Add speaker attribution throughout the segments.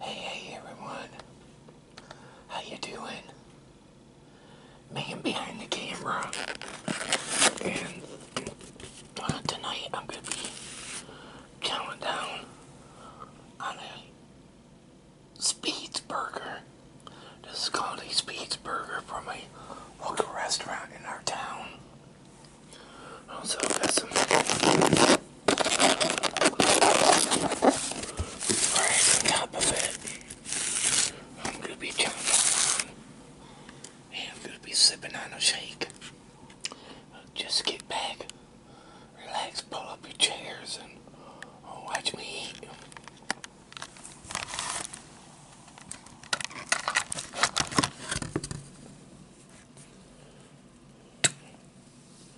Speaker 1: Hey, everyone. How you doing? Man behind the camera. And uh, tonight I'm going to be counting down on a Speeds Burger. This is called a Speeds Burger from a local restaurant in our town. Also got some Right on I'm going to be jumping on and I'm going to be sipping on a shake. Just get back, relax, pull up your chairs, and uh, watch me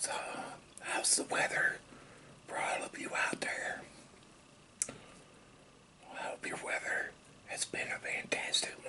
Speaker 1: So, how's the weather for all of you out there? I hope your weather has been a fantastic one.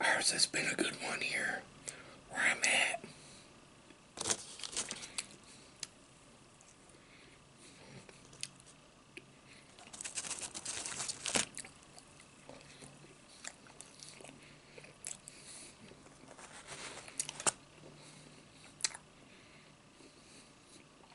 Speaker 1: Ours has been a good one here where I'm at.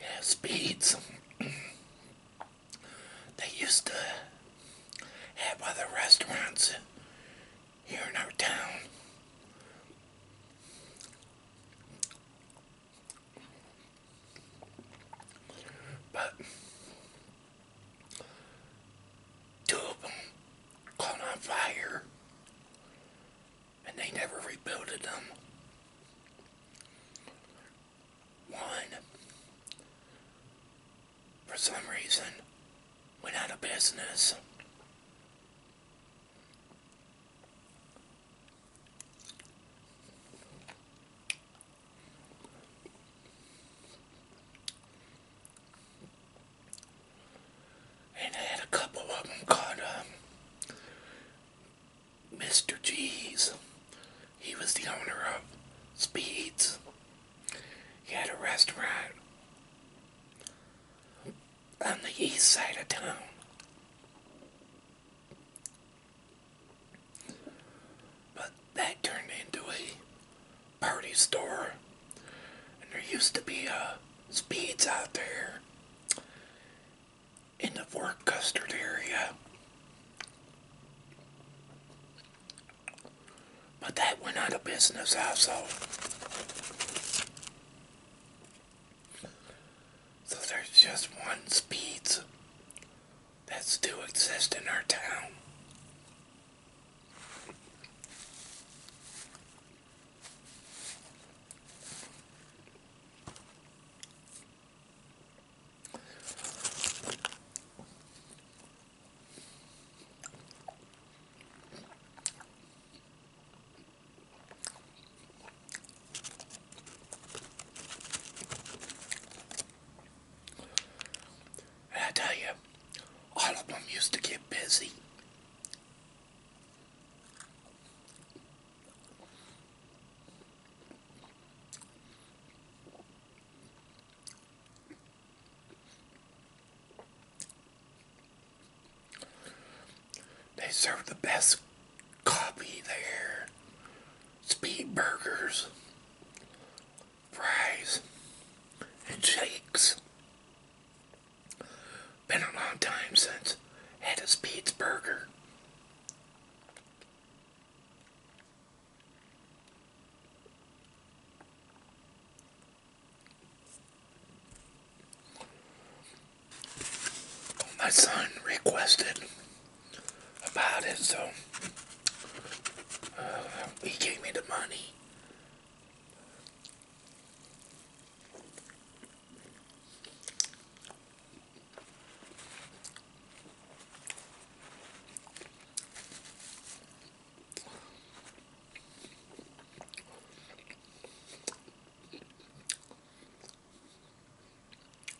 Speaker 1: Yes, speeds they used to have other restaurants here in our town two caught on fire and they never rebuilt them. One, for some reason, went out of business. And I had a couple of them called Mr. Um, G's. He was the owner of Speeds. He had a restaurant on the east side of town. But that turned into a party store. And there used to be uh, speeds out there in the Fort Custard area. But that went out of business also. So there's just one speeds that still exists in our town. I tell you, all of them used to get busy. They serve the best coffee there speed burgers, fries, and shakes. Been a long time since I had a Speed's burger. My son requested about it, so uh, he gave me the money.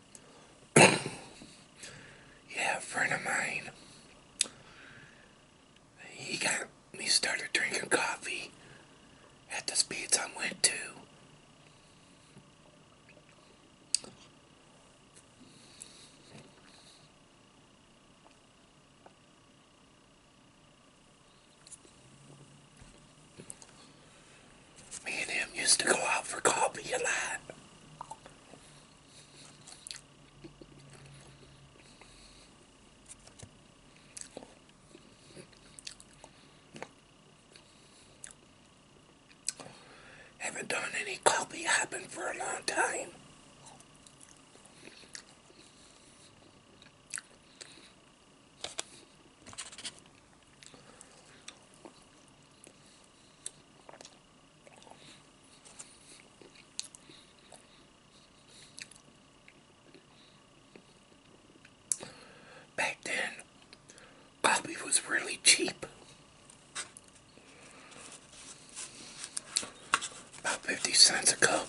Speaker 1: yeah, friend of mine. He got me started drinking coffee at the speeds I went to. Me and him used to go out for coffee a lot. Haven't done any coffee hopping for a long time. Back then, coffee was really cheap. About 50 cents a cup.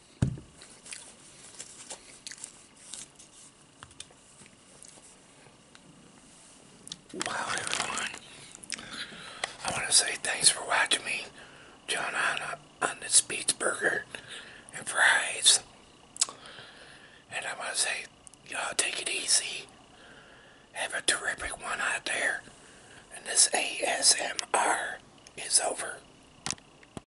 Speaker 1: Wow, everyone. I want to say thanks for watching me, John, on, uh, on this Beats Burger and Fries. And I want to say, y'all take it easy. Have a terrific one out there. And this ASMR is over.